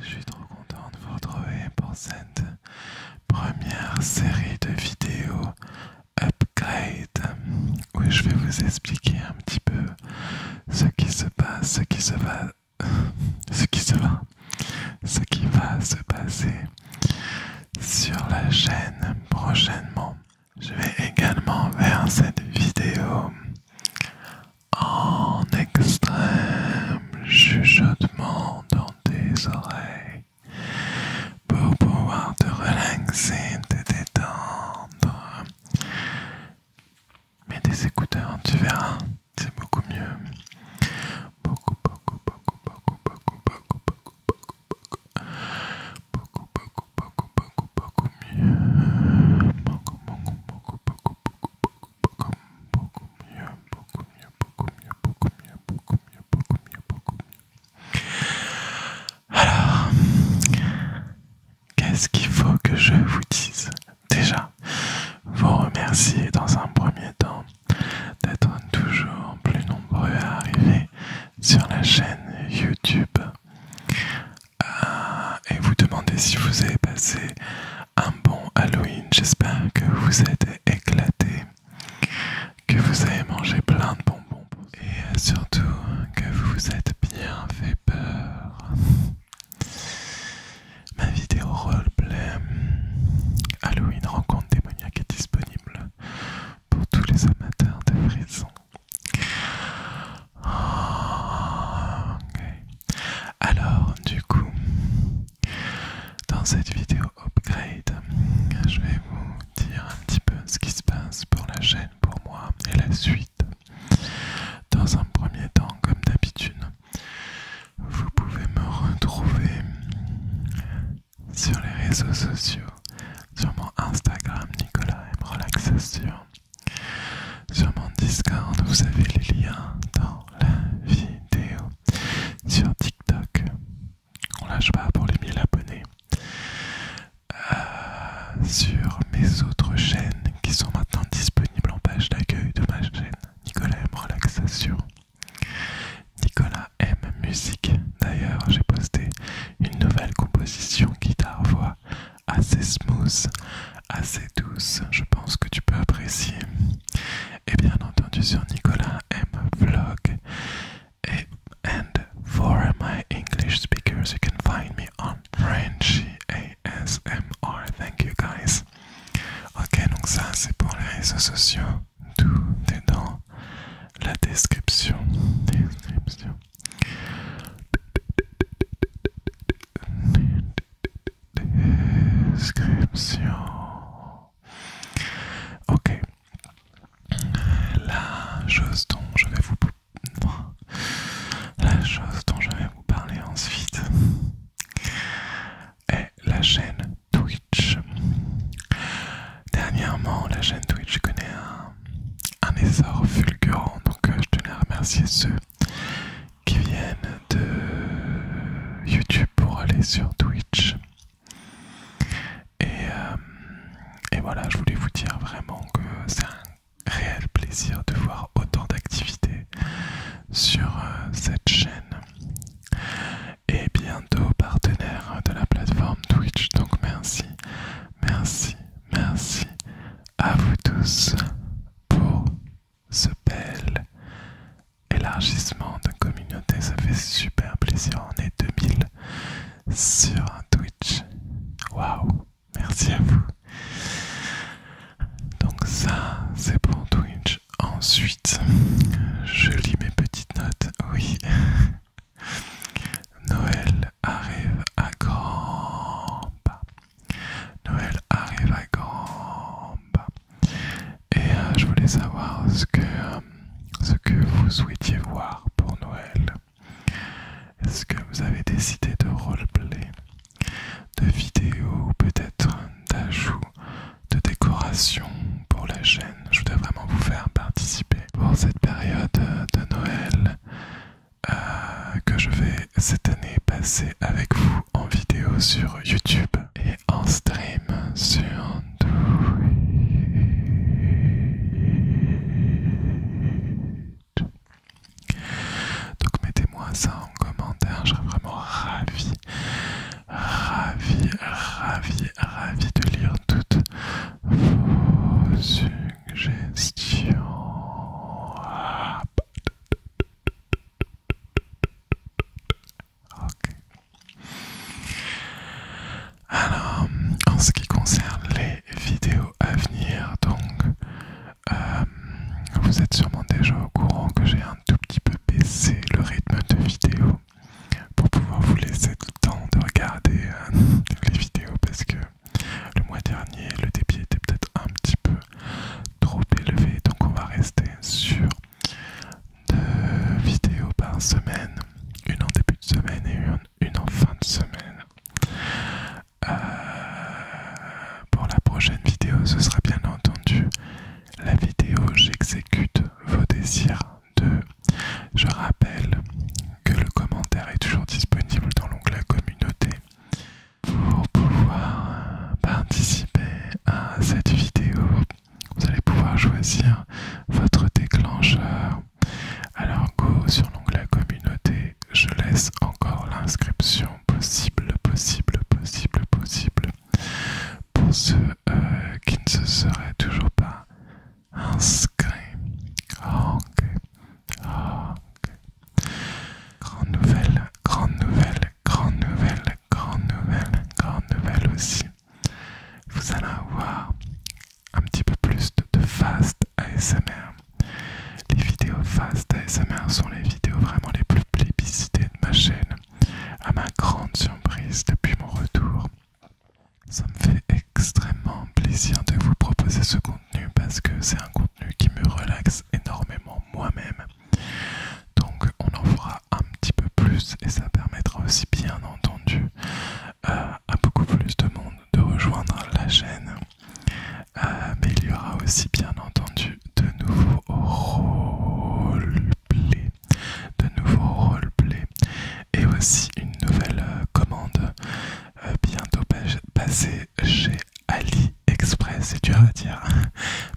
Je suis trop content de vous retrouver pour cette première série de vidéos upgrade où je vais vous expliquer un petit peu ce qui se passe, ce qui se va, ce qui se va, ce qui va se passer sur la chaîne prochainement. Je vais également faire cette vidéo en extrême chuchotement dans tes oreilles pour pouvoir te relaxer, te détendre. Mets des écouteurs, tu verras, c'est beaucoup mieux. Beaucoup, beaucoup, beaucoup, beaucoup, beaucoup, beaucoup, beaucoup, beaucoup, alors, qu'est-ce qu'il faut que je vous dise Déjà, vous remercier dans un premier temps d'être toujours plus nombreux à arriver sur la chaîne YouTube euh, et vous demandez si vous avez passé un bon Halloween. J'espère que vous êtes éclaté, que vous avez mangé plein de bonbons et surtout que vous vous êtes bien fait peur. Ma vidéo roleplay Halloween rencontre démoniaque est disponible pour tous les amateurs de frissons. Alors, du coup, dans cette vidéo upgrade, je vais vous dire un petit peu ce qui se passe pour la chaîne, pour moi et la suite. Dans un premier temps, comme d'habitude, vous pouvez me retrouver sur les réseaux sociaux, sur mon Instagram Nicolas Relaxation, sur mon Discord, vous avez les liens dans la vidéo, sur TikTok, on lâche pas pour les 1000 abonnés, euh, sur mes autres chaînes qui sont maintenant disponibles en page d'accueil de ma chaîne Nicolas M Relaxation, Nicolas M Musique. D'ailleurs, j'ai posté une nouvelle composition guitare-voix assez smooth, assez douce. Je pense que tu peux apprécier. Et bien entendu, sur Nicolas M Vlog. Et and for my English speakers, you can find me on Frenchy ASMR. Thank you guys. Ok, donc ça c'est pour les réseaux sociaux tout est dans la description. description. Description. Ok. La chose dont je vais vous la chose dont je vais vous parler ensuite est la chaîne Twitch Dernièrement, la chaîne Twitch connaît un, essor fulgurant, donc euh, je tenais à remercier ceux qui viennent de YouTube pour aller sur Twitch. Euh, et, voilà, je voulais vous dire vraiment que c'est un réel plaisir de voir autant d'activités sur euh, cette chaîne. Et bien partenaires partenaire de la plateforme Twitch. Donc merci, merci, merci à vous tous pour ce bel élargissement de communauté. Ça fait super plaisir. On est 2000 sur Twitch. Waouh, merci à vous. Donc ça, c'est pour Twitch. Ensuite, je lis mes petites notes. Oui, Noël arrive à grand. Noël arrive à grand Et euh, je voulais savoir ce que, euh, ce que vous souhaitiez voir pour Noël. Est-ce que vous avez décidé de roleplay, de vidéo, ou peut-être d'ajout de décoration pour la chaîne. Je voudrais vraiment vous faire participer pour cette période de Noël euh, que je vais cette année passer avec vous en vidéo sur YouTube et en stream sur Twitch. Donc mettez-moi ça en commentaire, je serais vraiment ravi ravi, ravi, ravi de lire toutes vos suggestions. Ok. Alors, en ce qui concerne les vidéos à venir, donc, euh, vous êtes sûrement déjà au courant que j'ai un tout petit peu baissé le rythme de vidéo pour pouvoir vous laisser le temps de regarder euh, les vidéos parce que le mois dernier le débit était peut-être un petit peu trop élevé donc on va rester sur deux vidéos par semaine une en début de semaine et une, en fin de semaine euh, pour la prochaine vidéo ce sera bien entendu la vidéo j'exécute vos désirs je rappelle que le commentaire est toujours disponible dans l'onglet communauté pour pouvoir participer à cette vidéo. Vous allez pouvoir choisir votre déclencheur. Alors go sur l'onglet communauté, je laisse encore l'inscription possible, possible, possible, possible pour ceux euh, qui ne se seraient toujours pas inscrits. Grande nouvelle, grande nouvelle, grande nouvelle, grande nouvelle, grande nouvelle aussi. Vous allez avoir un petit peu plus de fast ASMR. Les vidéos fast ASMR sont les vidéos vraiment les plus plébiscitées de ma chaîne. À ma grande surprise, depuis mon retour, ça me fait extrêmement plaisir de vous proposer ce contenu parce que c'est un contenu qui me relaxe énormément moi-même. Donc on en fera un petit peu plus et ça permettra aussi bien entendu euh, à beaucoup plus de monde de rejoindre la chaîne. Euh, mais il y aura aussi bien entendu de nouveaux rôles de nouveaux roleplay et aussi une nouvelle euh, commande euh, bientôt passée chez AliExpress, c'est dur à dire, hein.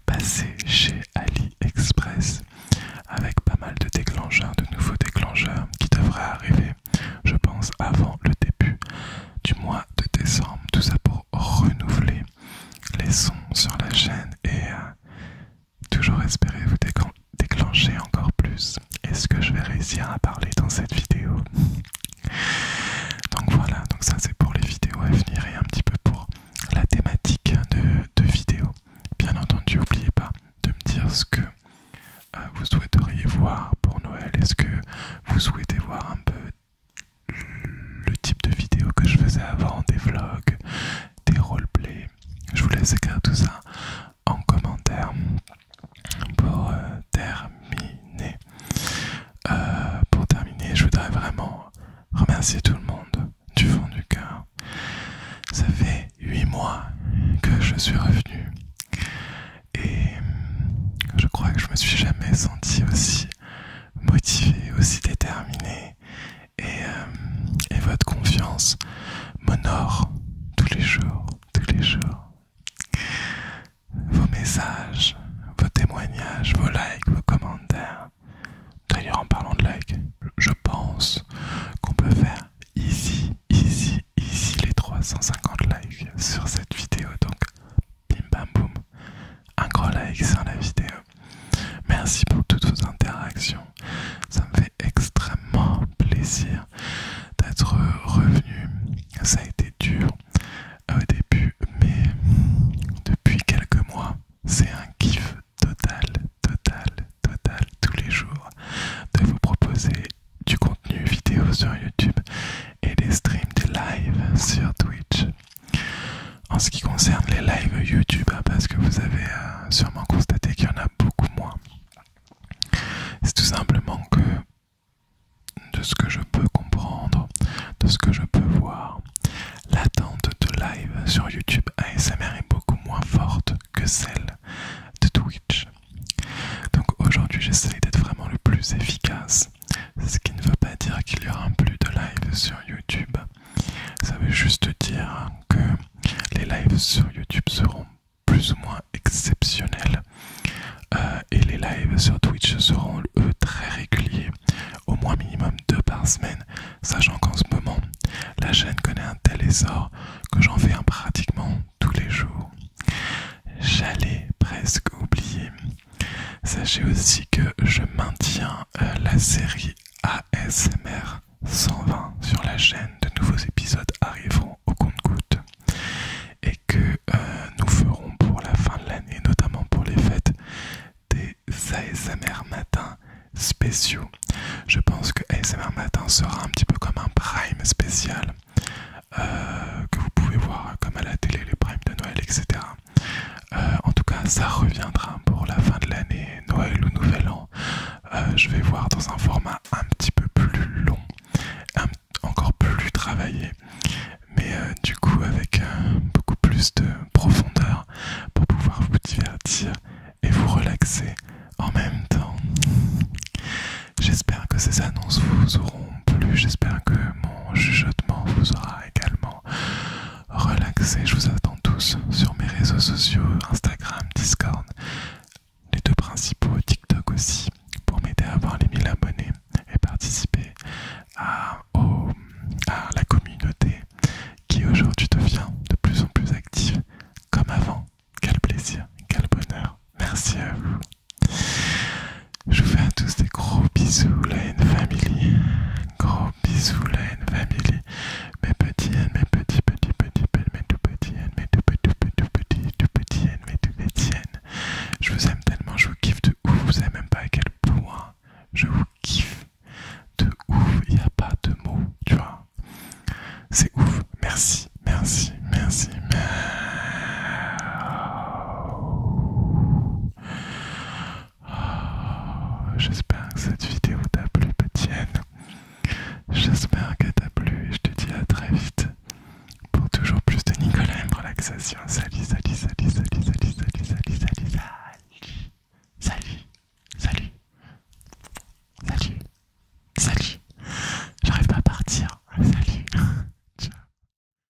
passée chez AliExpress avec pas mal de déclencheurs, de nouveaux déclencheurs qui devraient arriver, je pense, avant le début du mois de décembre. Tout ça pour renouveler les sons sur la chaîne et euh, toujours espérer vous déclencher encore plus. Est-ce que je vais réussir à parler dans cette vidéo Donc voilà, donc ça c'est pour les vidéos à venir et un petit peu pour la thématique de, vidéos. Bien entendu, n'oubliez pas de me dire ce que euh, vous souhaiteriez voir pour Noël. Est-ce que vous souhaitez voir un peu le type de vidéo que je faisais avant, des vlogs des roleplays. Je vous laisse écrire tout ça en commentaire pour euh, terminer. Euh, pour terminer, je voudrais vraiment remercier tout le monde du fond du cœur. Ça fait 8 mois que je suis revenu et je crois que je me suis jamais senti aussi motivé, aussi déterminé et, euh, et votre confiance m'honore tous les jours, tous les jours. Vos messages, vos témoignages, vos likes, vos commentaires. D'ailleurs, en parlant de likes, je pense qu'on peut faire ici, ici, ici les 350 likes sur cette vidéo. Donc, bim bam boum, un gros like sur la vidéo. Merci pour toutes vos interactions. Ça me fait extrêmement plaisir d'être revenu. Ça a été dur au début, mais depuis quelques mois, c'est un kiff total, total, total tous les jours de vous proposer du contenu vidéo sur YouTube et des streams, de live sur Twitch. En ce qui concerne les lives YouTube, hein, parce que vous avez euh, sûrement constaté qu'il y en a beaucoup moins, c'est tout simplement que, de ce que je peux comprendre, de ce que je peux voir, l'attente de live sur YouTube ASMR est beaucoup moins forte que celle de Twitch. Donc aujourd'hui, j'essaie d'être vraiment le plus efficace, ce qui ne veut pas dire qu'il y aura plus de live sur YouTube. Ça veut juste dire que les lives sur YouTube seront plus ou moins exceptionnels euh, et les lives sur Twitch seront eux très réguliers, au moins minimum deux par semaine, sachant qu'en ce moment la chaîne connaît un tel essor que j'en fais un pratiquement tous les jours. J'allais presque oublier, Sachez aussi que je maintiens euh, la série ASMR 120 sur la chaîne. De nouveaux épisodes arriveront au compte-goutte et que euh, nous ferons pour la fin de l'année, notamment pour les fêtes, des ASMR matin spéciaux. Je pense que ASMR matin sera un petit peu comme un prime spécial euh, que vous pouvez voir comme à la télé, les primes de Noël, etc. Euh, en tout cas, ça reviendra pour la fin de l'année, Noël ou Nouvel An. Euh, je vais voir dans un format un petit peu plus long, encore plus travaillé, mais euh, du coup avec beaucoup plus de profondeur pour pouvoir vous divertir et vous relaxer en même temps. J'espère que ces annonces vous auront plu, j'espère que mon chuchotement vous aura également relaxé. Je vous attends tous sur mes réseaux sociaux, Instagram, Discord, les deux principaux, TikTok aussi, pour m'aider à avoir les 1000 abonnés et participer à la communauté qui aujourd'hui devient de plus en plus active, comme avant. Quel plaisir, quel bonheur. Merci à vous. Je vous fais à tous des gros bisous, la N Family. Gros bisous, la N Family. Mes petits N, mes petits, petits, petits, petits, mes tout petits N, mes tout petits, tout petits, tout petits N, mes tout petits N. Je vous aime tellement, je vous kiffe de ouf. Vous savez même pas à quel point je vous kiffe de ouf. Il n'y a pas de mots, tu vois. C'est ouf. merci, merci, merci. J'espère que cette vidéo t'a plu, Petienne. J'espère qu'elle t'a plu et je te dis à très vite pour toujours plus de Nicolas et relaxation. Salut, salut, salut, salut, salut, salut, salut, salut, salut, salut, salut, salut, salut. J'arrive pas à partir. Salut. Ciao.